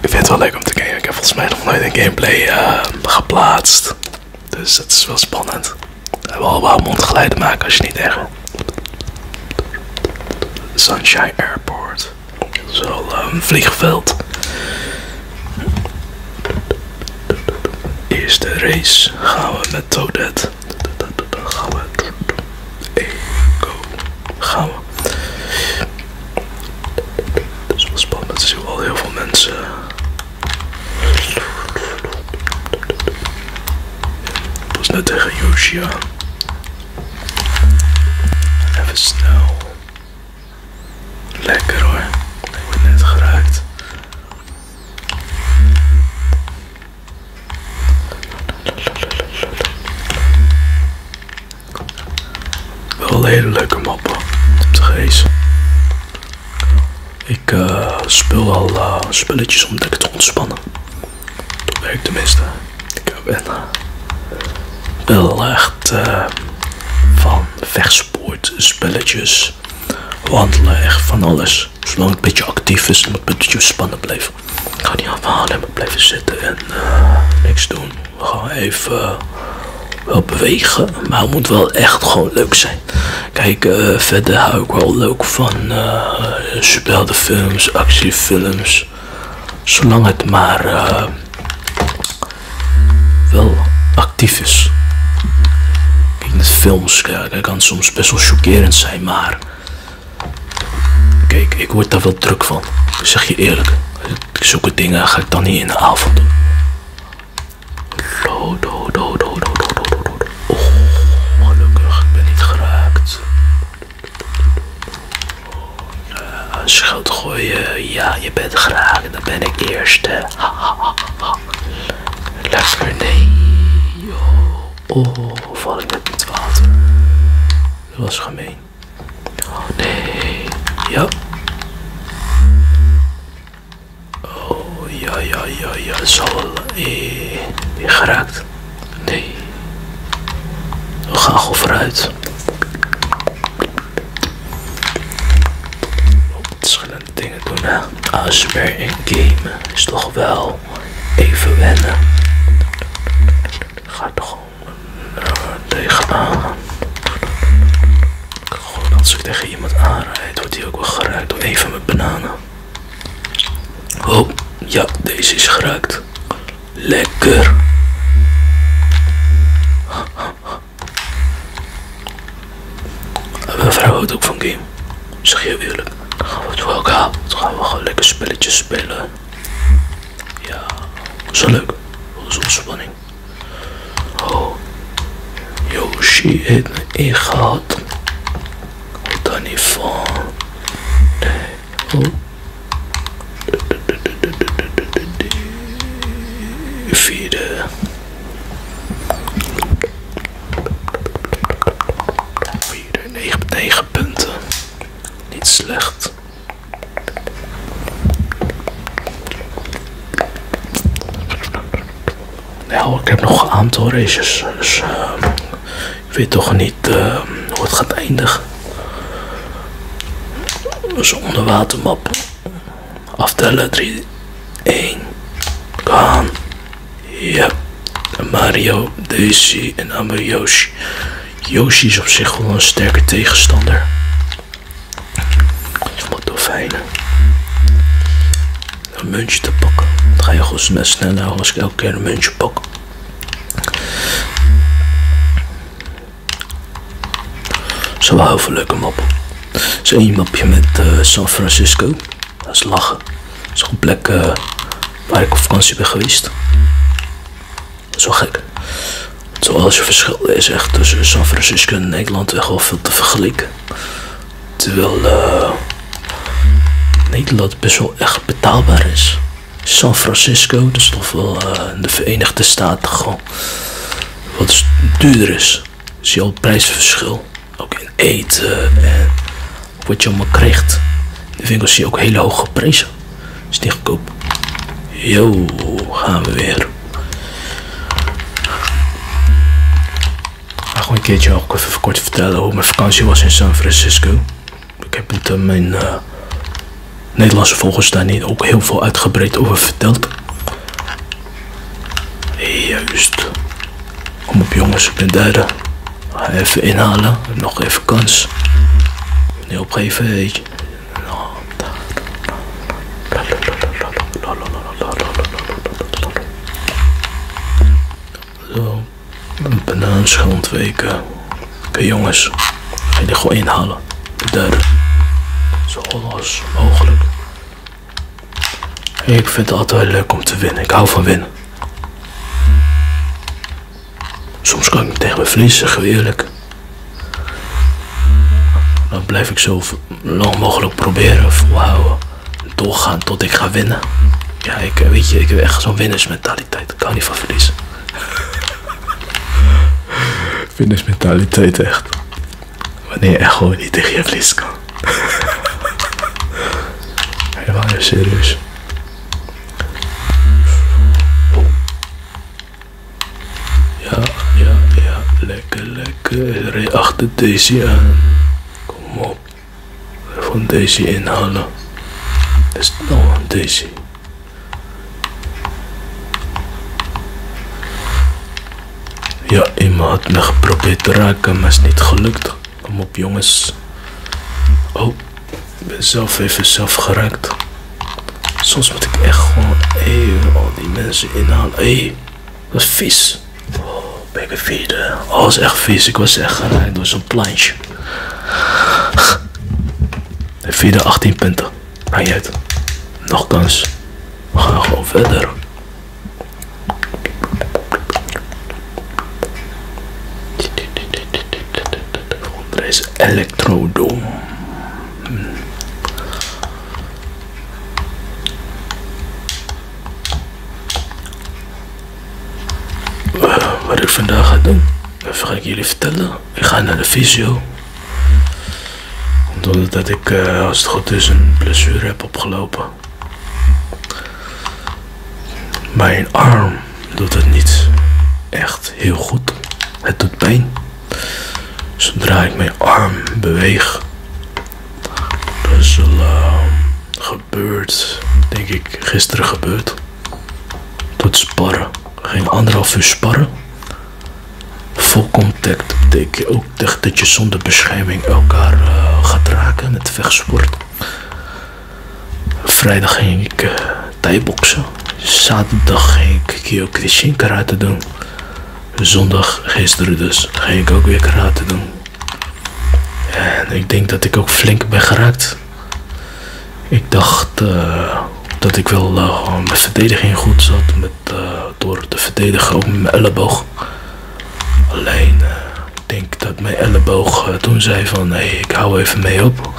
Ik vind het wel leuk om te kijken. Ik heb volgens mij nog nooit een gameplay eh, geplaatst. Dus dat is wel spannend. We hebben al wel mondgeleiden maken als je niet erg. Sunshine Airport. Dat is wel eh, een vliegveld. Eerste race gaan we met Toadette. Gaan we. go. Gaan we. Dat is wel spannend. Er zien wel heel veel mensen. was net tegen Yoshia. Even snel. Lekker hoor. Ik ben net geraakt. Wel een hele leuke map op Te Ik eh, speel al eh, spelletjes om lekker te ontspannen. Dat werkt meeste. Ik ben eh, wel echt van vechtsport, spelletjes, wandelen, van alles. Zolang het een beetje actief is, moet het spannen blijven. Ik ga niet afhalen, maar blijven zitten en eh, niks doen. Gewoon even eh, bewegen, maar het moet wel echt gewoon leuk zijn. Kijk, eh, verder hou ik wel leuk van uh, films, actiefilms. Zolang het maar wel actief is. Ik met films, kijken kan soms best wel chockerend zijn, maar Kijk, ik word daar wel druk van. zeg je eerlijk. Zulke dingen ga ik dan niet in de avond doen. Dood, dood, oh, gelukkig. Ik ben niet geraakt. Uh, gooien. Ja, je bent geraakt. Dan ben ik eerste. Ha, ha, ha, Yo. Oh, val ik met het water. Dat was gemeen. Oh, nee. Ja. Oh ja, ja, ja, ja. Zo. Eh, weer geraakt. Nee. We gaan gewoon vooruit. Verschillende oh, dingen doen, hè. ASMR en game is toch wel even wennen. Ga toch gewoon eh, tegen Gewoon als ik tegen iemand aanrijd, wordt die ook wel geraakt door even mijn bananen. Oh, ja, deze is geraakt. Lekker. Mijn vrouw ook van game. Zeg je eerlijk. Dan gaan we het wel elkaar. Dan gaan we gewoon lekker spelletjes spelen. Ja, zo leuk. Dat is ontspanning. Oh. Yoshi heeft me ingehaald. Houd daar niet van. de oh. Vierde. 4, 9, 9 punten. Niet slecht. Nou, ik heb nog een aantal races. Dus, eh, ik weet toch niet uh, hoe het gaat eindigen. Dus onderwatermap. Aftellen 3, 1, gaan. Ja, Mario, Daisy en Amber Yoshi. Yoshi is op zich gewoon een sterke tegenstander. Wat fijn. Een muntje te pakken. Dat ga je gewoon net sneller als ik elke keer een muntje pak. Zo houden heel veel leuke mappen. is een mapje met eh, San Francisco. Dat is lachen. Dat is een plek eh, waar ik op vakantie ben geweest. Dat is wel gek. Zoals je verschil is echt tussen San Francisco en Nederland echt wel veel te vergelijken. Terwijl eh, Nederland best wel echt betaalbaar is. San Francisco, dat is toch wel eh, in de Verenigde Staten gewoon wat duurder is. Zie je al prijsverschil. Ook eten en wat je allemaal krijgt. De winkels zie ook hele hoge prijzen. Is niet Yo, gaan we weer. Ga gewoon een keertje ook even kort vertellen hoe mijn vakantie was in San Francisco. Ik heb het mijn eh, Nederlandse volgers daar niet ook heel veel uitgebreid over verteld. Juist. Kom op jongens, ik ben derde. Even inhalen, nog even kans. Nee, opgeven, weet je. Zo, banaanschil ontweken. Oké jongens, jongens, ga dit gewoon inhalen. De derde. Zo los mogelijk. Ik vind het altijd leuk om te winnen. Ik hou van winnen. Soms kan ik tegen me verliezen, geweerlijk. Dan blijf ik zo lang mogelijk proberen, volhouden. Doorgaan tot ik ga winnen. Ja, ik, eh, weet je, ik heb echt zo'n winnersmentaliteit. Ik Kan niet van verliezen. winnersmentaliteit, echt. Wanneer je gewoon niet tegen je vlees kan. Helemaal serieus. Ja, ja, ja. Lekker, lekker. Rij achter deze aan. Kom op. gaan deze inhalen. Dat is nou deze. Ja, iemand had me geprobeerd te raken, maar is niet gelukt. Kom op, jongens. Oh, ik ben zelf even zelf geraakt. Soms moet ik echt gewoon even al die mensen inhalen. Hé, dat is vies. Oh, baby feeder. Oh, dat echt vies. Ik was echt geraakt door zo'n plantje. De vierde 18 punten. Maakt niet Nog kans. We gaan gewoon verder. Onder elektrodo. Hm. Wat ik vandaag ga doen, dat ga ik jullie vertellen. Ik ga naar de visio. Komt dat ik, eh, als het goed is, een blessure heb opgelopen. Mijn arm doet het niet echt heel goed. Het doet pijn. Zodra ik mijn arm beweeg, is er ehm, gebeurd, denk ik, gisteren gebeurd. Tot sparren. Geen anderhalf uur sparren. Vol contact betekent ook dat je zonder bescherming elkaar eh, gaat raken met vechtsport. Vrijdag ging ik uh, Zaterdag ging ik Kyokushin karate doen. Zondag, gisteren dus, ging ik ook weer karate doen. En ik denk dat ik ook flink ben geraakt. Ik dacht eh, dat ik wel gewoon mijn verdediging goed zat. Eh, door te verdedigen ook mijn elleboog. Alleen, denk eh, ik denk dat mijn elleboog eh, toen zei van, nee, ik hou even mee op.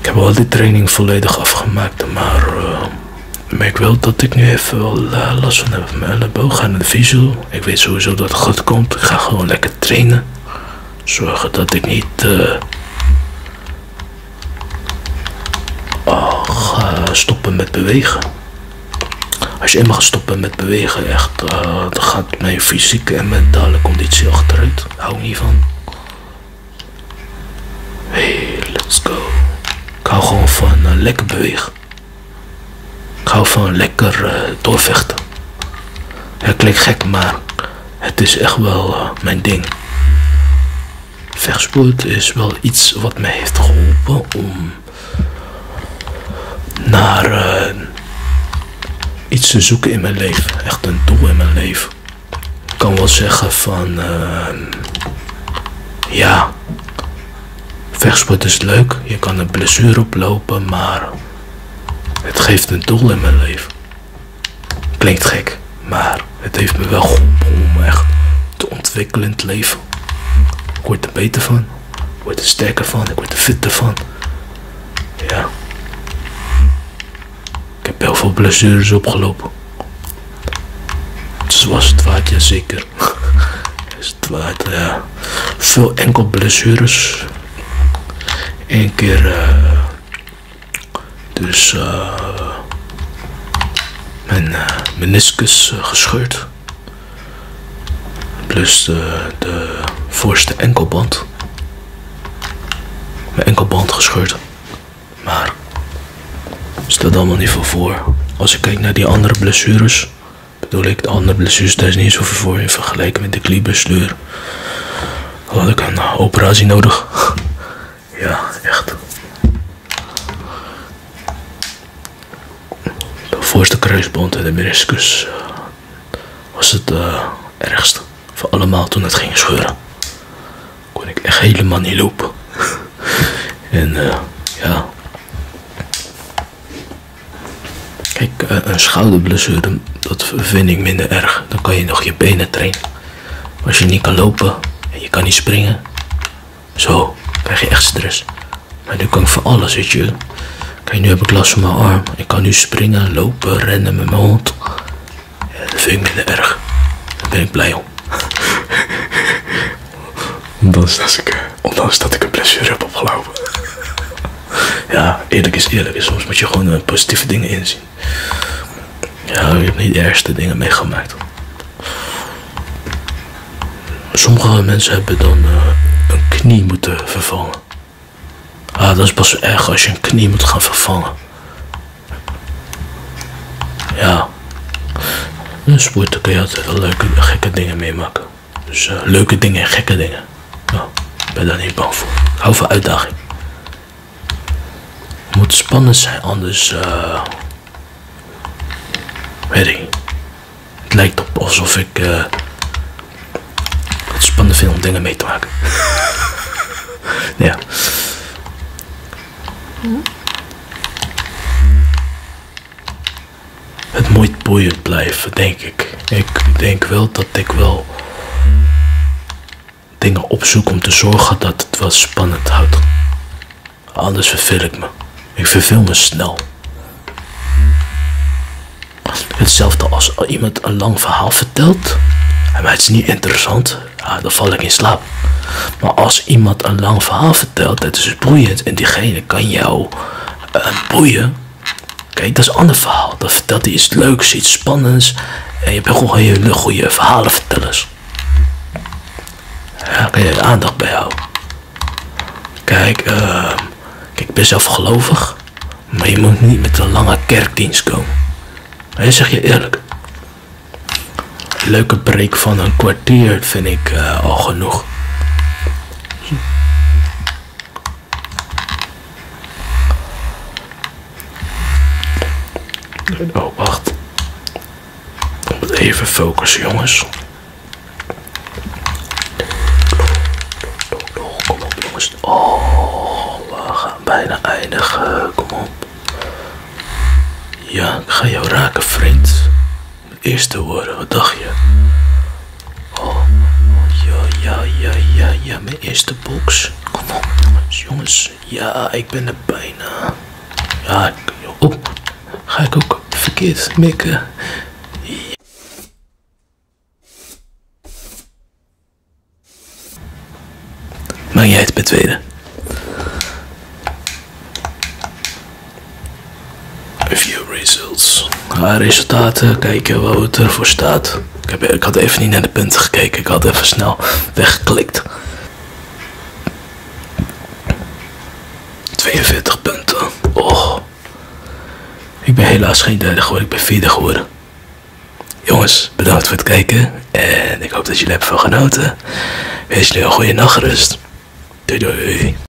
ik heb al die training volledig afgemaakt, maar ik merk wel dat ik nu even wel last van heb mijn elleboog aan het visual. Ik weet sowieso dat het goed komt. Ik ga gewoon lekker trainen. Zorgen dat ik niet uh, stoppen met bewegen. Als je eenmaal gaat stoppen met bewegen, echt, eh, dan gaat mijn fysieke en mentale conditie achteruit. Hou niet van. Hey, let's go. Ik hou gewoon van eh, lekker bewegen. Ik hou van lekker doorvechten. Het klinkt gek, maar het is echt wel eh, mijn ding. Vechtsport is wel iets wat mij heeft geholpen om naar eh, iets te zoeken in mijn leven. Echt een doel in mijn leven. Ik kan wel zeggen van eh, ja, vechtsport is leuk. Je kan een blessure oplopen, maar het geeft een doel in mijn leven. Klinkt gek, maar het heeft me wel geholpen om echt te ontwikkelen in het leven. Ik word er beter van, ik word er sterker van, ik word er fitter van. Ja. Ik heb heel veel blessures opgelopen. Dus was het waard, ja zeker. Is het waard, ja. Veel enkel blessures. Eén keer eh, dus eh, mijn eh, meniscus eh, gescheurd. Plus de, voorste enkelband. Mijn enkelband gescheurd. Maar dat allemaal niet veel voor. Als ik kijk naar die andere blessures, bedoel ik de andere blessures, daar is niet zoveel voor in vergelijking met de kniebestuur had ik een operatie nodig. ja, echt. De voorste kruisband en de meniscus eh, was het ergst eh, ergste van allemaal toen het ging scheuren. Kon ik echt helemaal niet lopen. en eh, ja. Kijk, een schouderblessure dat vind ik minder erg. Dan kan je nog je benen trainen. Als je niet kan lopen en je kan niet springen, zo krijg je echt stress. Maar nu kan ik voor alles, weet je. Kijk, nu heb ik last van mijn arm. Ik kan nu springen, lopen, rennen met mijn hond. dat vind ik minder erg. Daar ben ik blij om. Ondanks dat ik, eh, ondanks dat ik een blessure heb opgelopen. Ja, eerlijk is eerlijk. Dus soms moet je gewoon eh, positieve dingen inzien. Ja, je hebt niet de ergste dingen meegemaakt. Sommige mensen hebben dan eh, een knie moeten vervangen. Ah, dat is pas erg als je een knie moet gaan vervangen. Ja. In sporten kun je altijd leuke, gekke dingen meemaken. Dus eh, leuke dingen en gekke dingen. Nou, ik ben daar niet bang voor. Hou van uitdaging. Moet spannend zijn, anders. Uh, weet Het lijkt op alsof ik. het eh, spannend vind om dingen mee te maken. ja. Het moet boeiend blijven, denk ik. Ik denk wel dat ik wel dingen opzoek om te zorgen dat het wel spannend houdt. Anders verveel ik me. Ik verveel me snel. Hetzelfde als iemand een lang verhaal vertelt. en het is niet interessant. Ah, dan val ik in slaap. Maar als iemand een lang verhaal vertelt, dat is boeiend. En diegene kan jou eh, boeien Kijk, dat is een ander verhaal. Dat, dat is leuks, iets spannends. En je hebt gewoon hele goede vertellen. Daar kan je aandacht bij houden. Ehm, kijk, ik ben zelf gelovig. Maar je moet niet met een lange kerkdienst komen. En zeg je eerlijk. Een leuke break van een kwartier vind ik eh, al genoeg. Oh, wacht. Even focussen, jongens. Kom op, jongens. Oh, we gaan bijna eindigen. Kom op. Ja, ik ga jou raken, vriend eerste woorden, wat dacht je? Oh, ja, ja, ja, ja, ja, mijn eerste box. Kom op, jongens, Ja, ik ben er bijna. Ja, op. Ga ik ook verkeerd mikken? Ja. Maak jij het bij tweede? Review results. Haar resultaten, kijken wat er voor staat. Ik, heb, ik had even niet naar de punten gekeken, ik had even snel weggeklikt. 42 punten. Oh. Ik ben helaas geen derde geworden, ik ben 40 geworden. Jongens, bedankt voor het kijken. En ik hoop dat jullie hebben van genoten. Wees jullie een goede nachtrust. Doei doei.